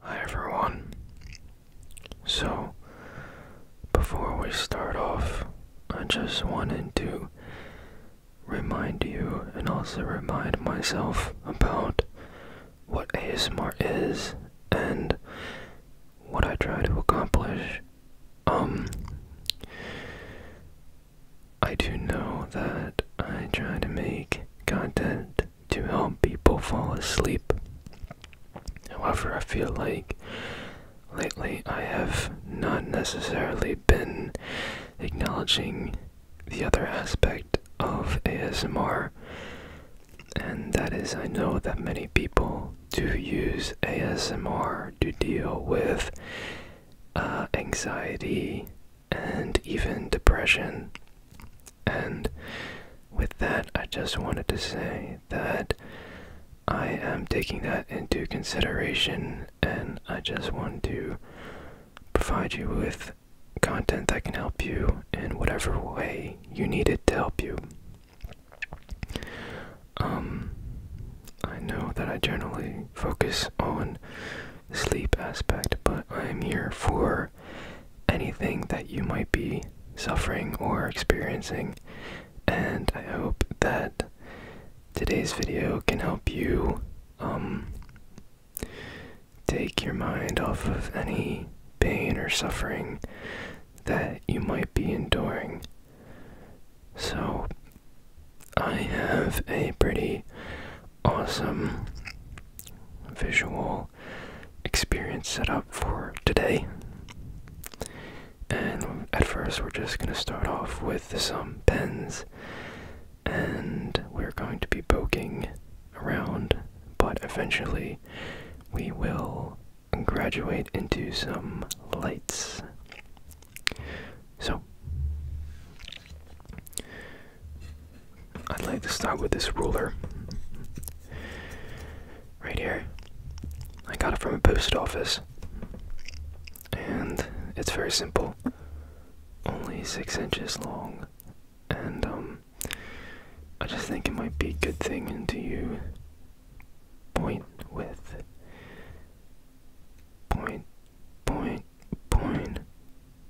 Hi everyone. So, before we start off, I just wanted to remind you and also remind myself about what ASMR is and what I try to accomplish. Um, I do know that I try to make content to help people fall asleep. However, I feel like lately I have not necessarily been acknowledging the other aspect of ASMR, and that is, I know that many people do use ASMR to deal with uh, anxiety and even depression. And with that, I just wanted to say that I am taking that into consideration and I just want to provide you with content that can help you in whatever way you need it to help you. Um, I know that I generally focus on sleep aspect, but I am here for anything that you might be suffering or experiencing. And I hope that today's video can help you um, take your mind off of any pain or suffering that you might be enduring. So, I have a pretty awesome visual experience set up for today. And at first, we're just going to start off with some pens, and we're going to be poking around, but eventually, we will graduate into some lights. So, I'd like to start with this ruler. Right here. I got it from a post office. And it's very simple. Only six inches long. And um, I just think it might be a good thing to you point with point point point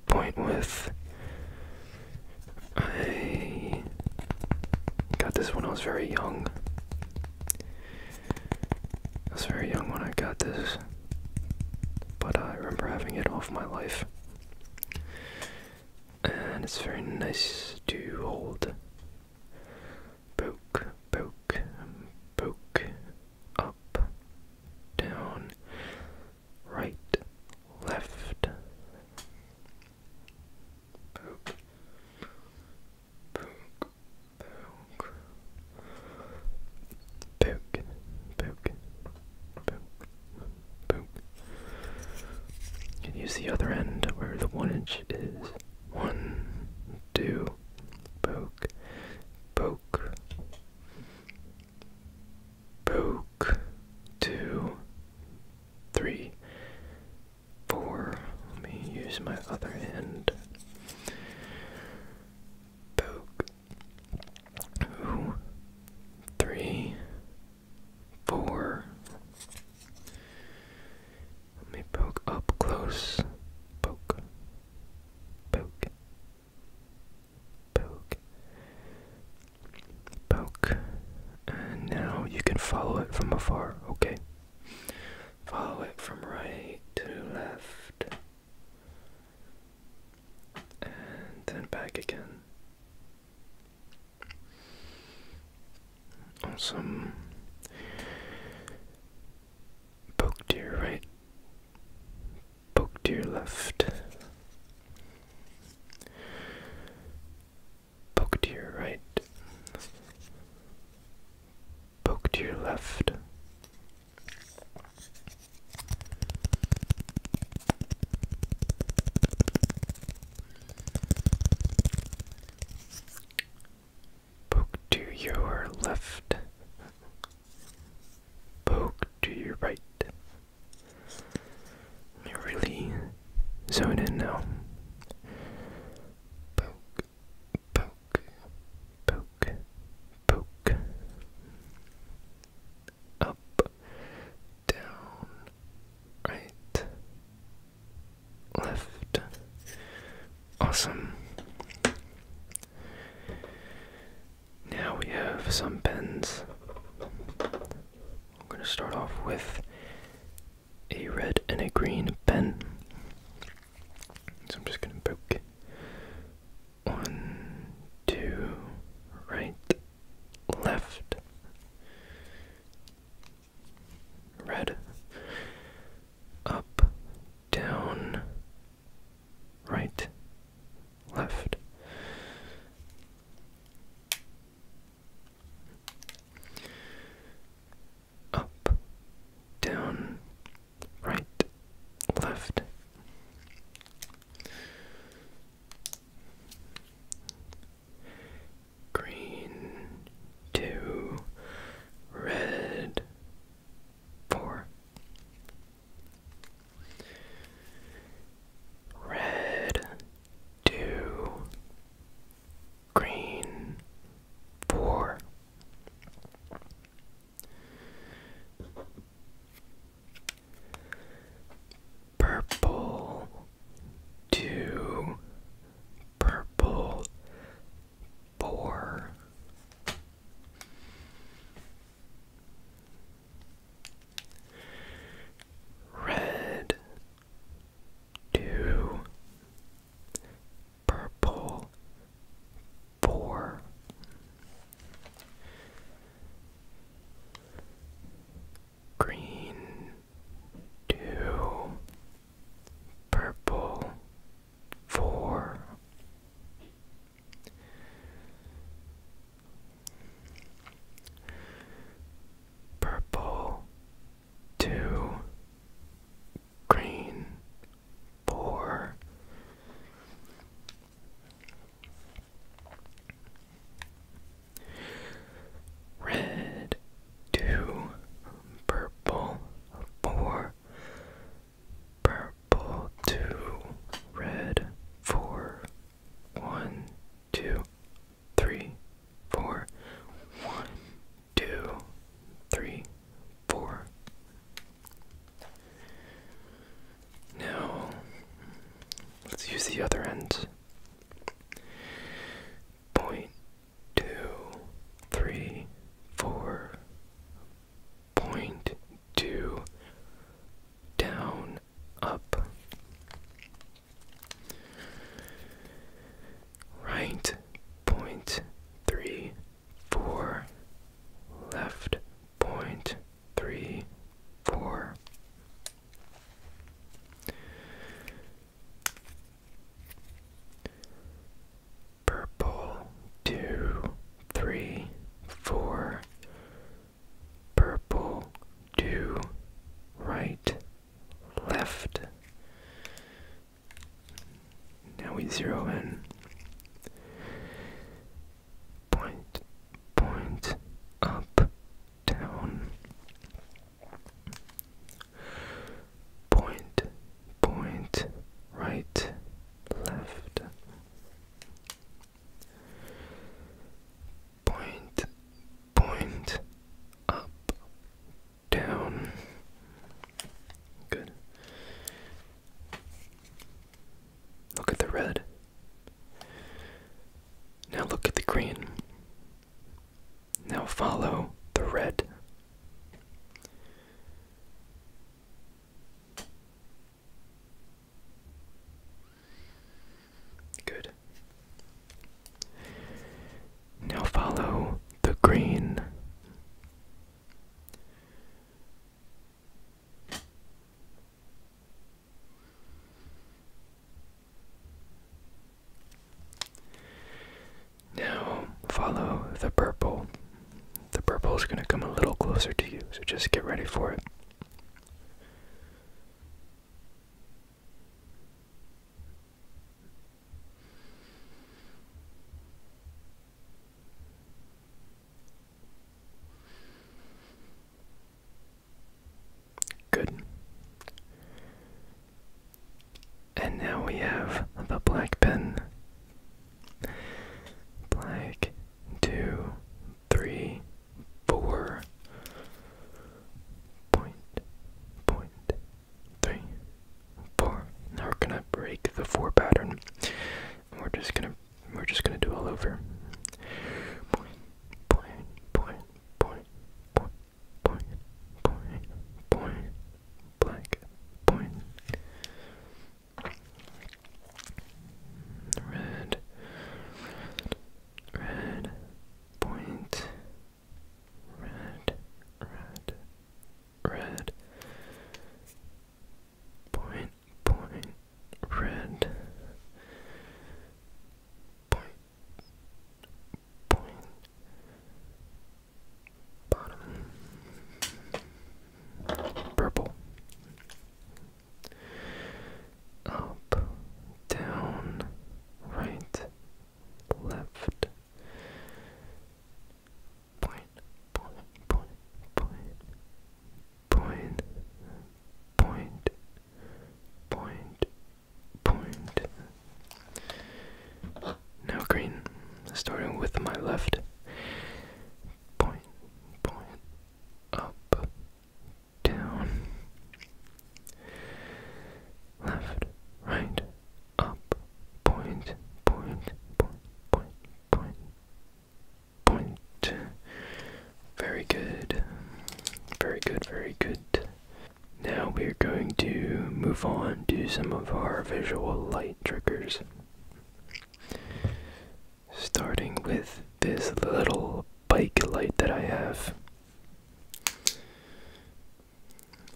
point with. I got this when I was very young. I was very young when I got this, but I remember having it all my life. And it's very nice to hold. Poke, poke, poke, up, down, right, left. poke, poke, poke, Pook. Pook. Pook. And use the other end where the one inch is. One, two, poke, poke, poke, two, three, four. Let me use my other hand. Poke. Two, three, four. Let me poke up close. Poke. Poke. Poke poke. And now you can follow it from afar, okay? Follow it from right to left. And then back again. Awesome. Poke to your right. Poke to your left. Poke to your right. Poke to your left. Poke to your left. Poke to your right. You're really zoned in now. Poke, poke, poke, poke. Up, down, right, left. Awesome. Now we have some pens. I'm going to start off with a red and a green pen. So I'm just going to poke one, two, right, left, red, up, down, right, left. Up, down, right, left. Green, to red, four. Red, two, green, four. Purple, two, purple, four. Red, two, purple, four. Green, two, purple, four, Purple two green four red two purple four purple two red four one, two, three, four. One, two, three, four. Now, let's use the other end. Point two, three, four. Point two, down, up. Right point three four left point three four Purple two three four Purple two right left. Now we zero in. Point, point, up, down. Point, point, right, left point, point, up, down. Good. Look at the red. Now look at the green. Now follow the red. Good. Now follow the green. Now follow the purple. The purple is going to come a little closer to you, so just get ready for it. Good. And now we have the black pen. Black, two, three, four point, point, three, four. Now we're gonna break the four pattern. we're just gonna we're just gonna do all over. Point, point, point, point, point, point, point, point, black, point. red, red, point, red, red, red. Point, point, red. Point, point. Bottom. Purple. Up, down, right, left. Point, point, point, point, point, point, point, point. Now green, starting with my left. Point, point, up, down. Left, right, up, point, point, point, point, point, point. Very good. Very good, very good. Now we're going to move on to some of our visual light triggers. Starting with this little bike light that I have.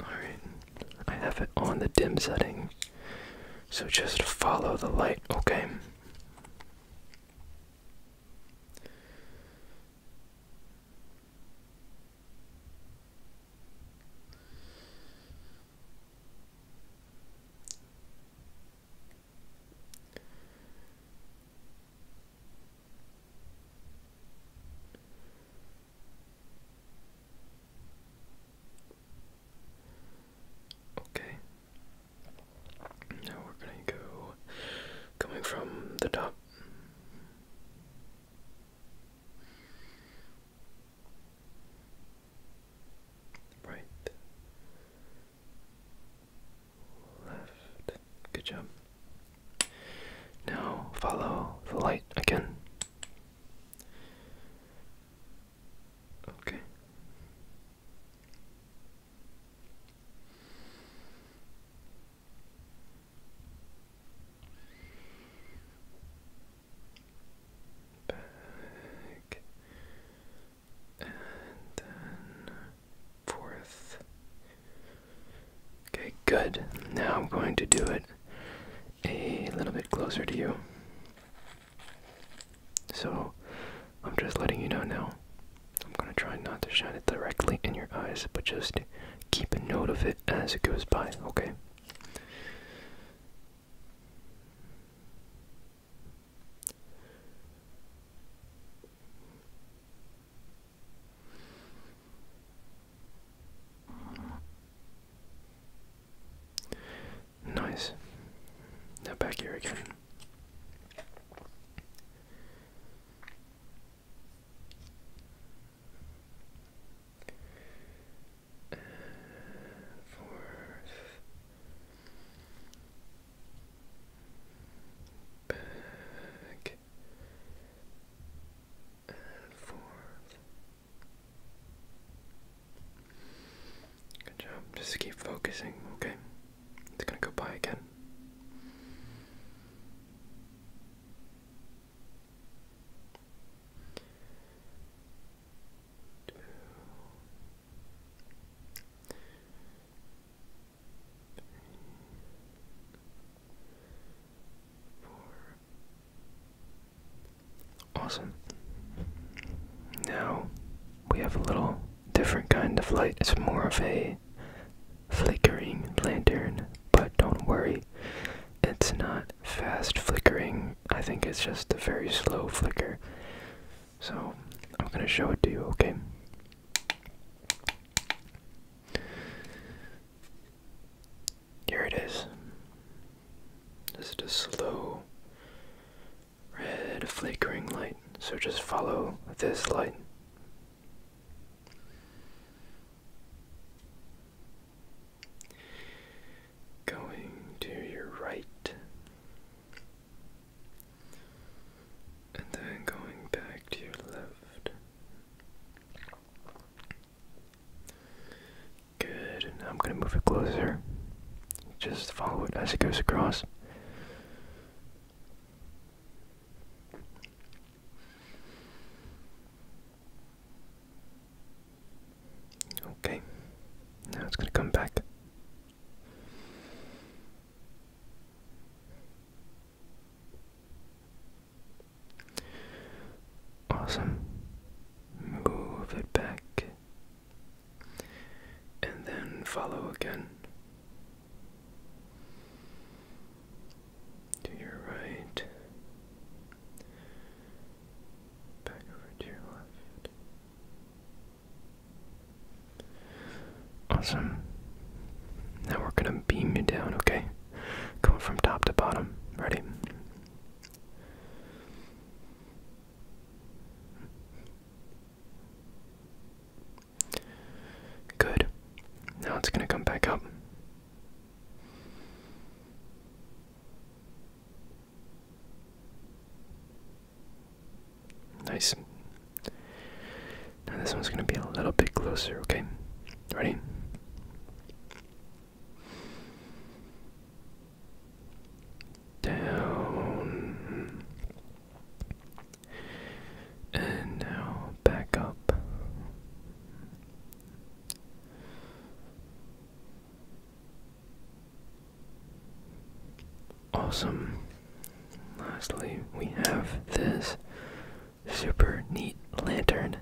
Alright, I have it on the dim setting. So just follow the light, okay? Okay. Now we're going to go coming from the top. Right. Left. Good job. Now follow the light again. Okay. Back and then forth Okay, good. Now I'm going to do it a little bit closer to you. So I'm just letting you know now. I'm going to try not to shine it directly in your eyes, but just keep a note of it as it goes by, okay? Nice. Now back here again. fourth. Back and forth. Good job. Just keep focusing, okay? It's gonna go by again. Two. Three. Awesome. Now we have a little different kind of light. It's more of a flickering lantern, but don't worry, it's not fast flickering. I think it's just a very slow flicker. So I'm going to show it to you, okay? Here it is. This is a slow red flickering light. So just follow this light. Going to your right, and then going back to your left. Good. Now I'm going to move it closer. Just follow it as it goes across. Okay. Now it's going to come back. Awesome. Move it back. And then follow again. To your right. Back over to your left. Awesome. Now we're going to beam you down, okay? Going from top to bottom. Ready? Good. Now it's going to come back up. Nice. Now this one's going to be a little bit closer, okay? Ready? down, and now back up. Awesome. Lastly, we have this super neat lantern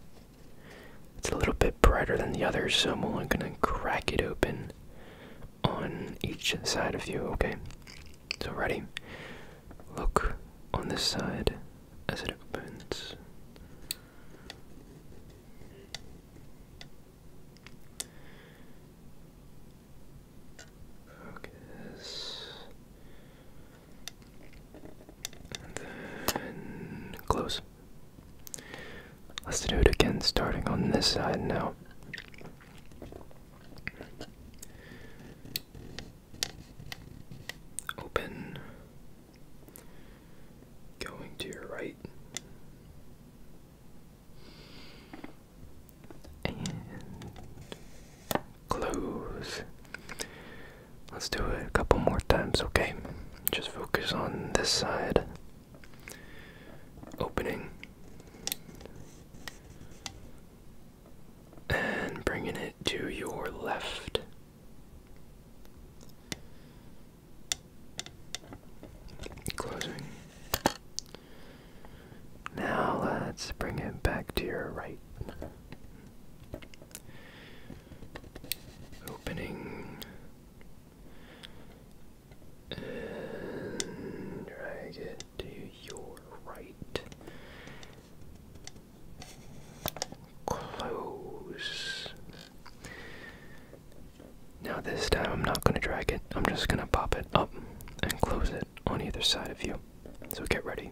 it's a little bit brighter than the others, so I'm only gonna crack it open on each side of you, okay? So, ready? Look on this side as it opens. Focus close. Let's do it again, starting on this side now. Open. Going to your right. And close. Let's do it a couple more times, okay? Just focus on this side. Opening. And bringing it to your left. Closing. Now let's bring it back to your right. Opening drag it to your right. Close. Now, this time I'm not going to drag it, I'm just going to pop it up and close it on either side of you. So get ready.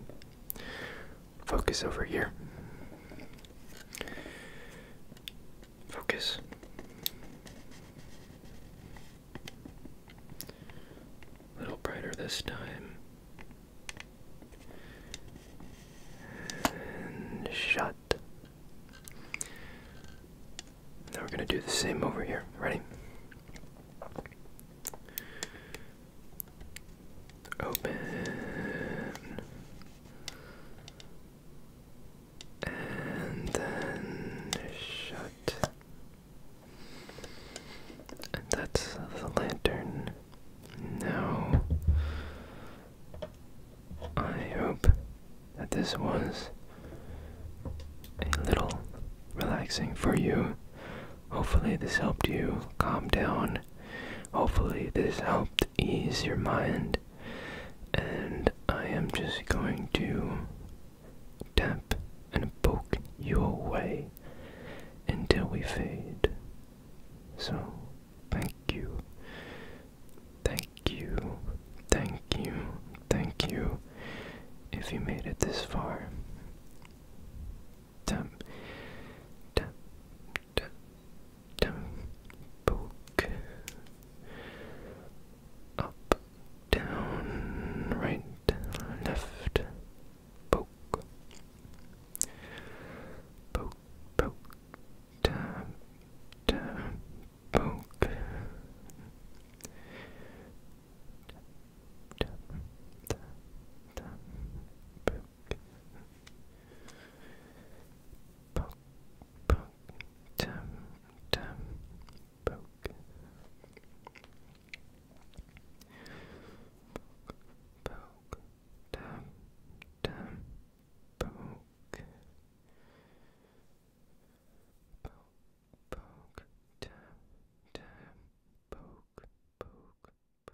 Focus over here. Focus. A little brighter this time. And shut. Now we're going to do the same over here. Ready? Open and then shut. And that's the lantern. Now, I hope that this was a little relaxing for you. Hopefully, this helped you calm down Hopefully, this helped ease your mind. And I am just going to tap and poke you away until we fade. So, thank you. Thank you. Thank you. Thank you. If you made it this far. Tap. Tap poke up, down, right, left, poke, poke, poke, tap, tap, poke, tap, tap, tap, poke. Poke, poke, tum, tum, poke. Poke, tum, tum, poke. Poke, poke, tum, tum, poke, poke, poke, tum.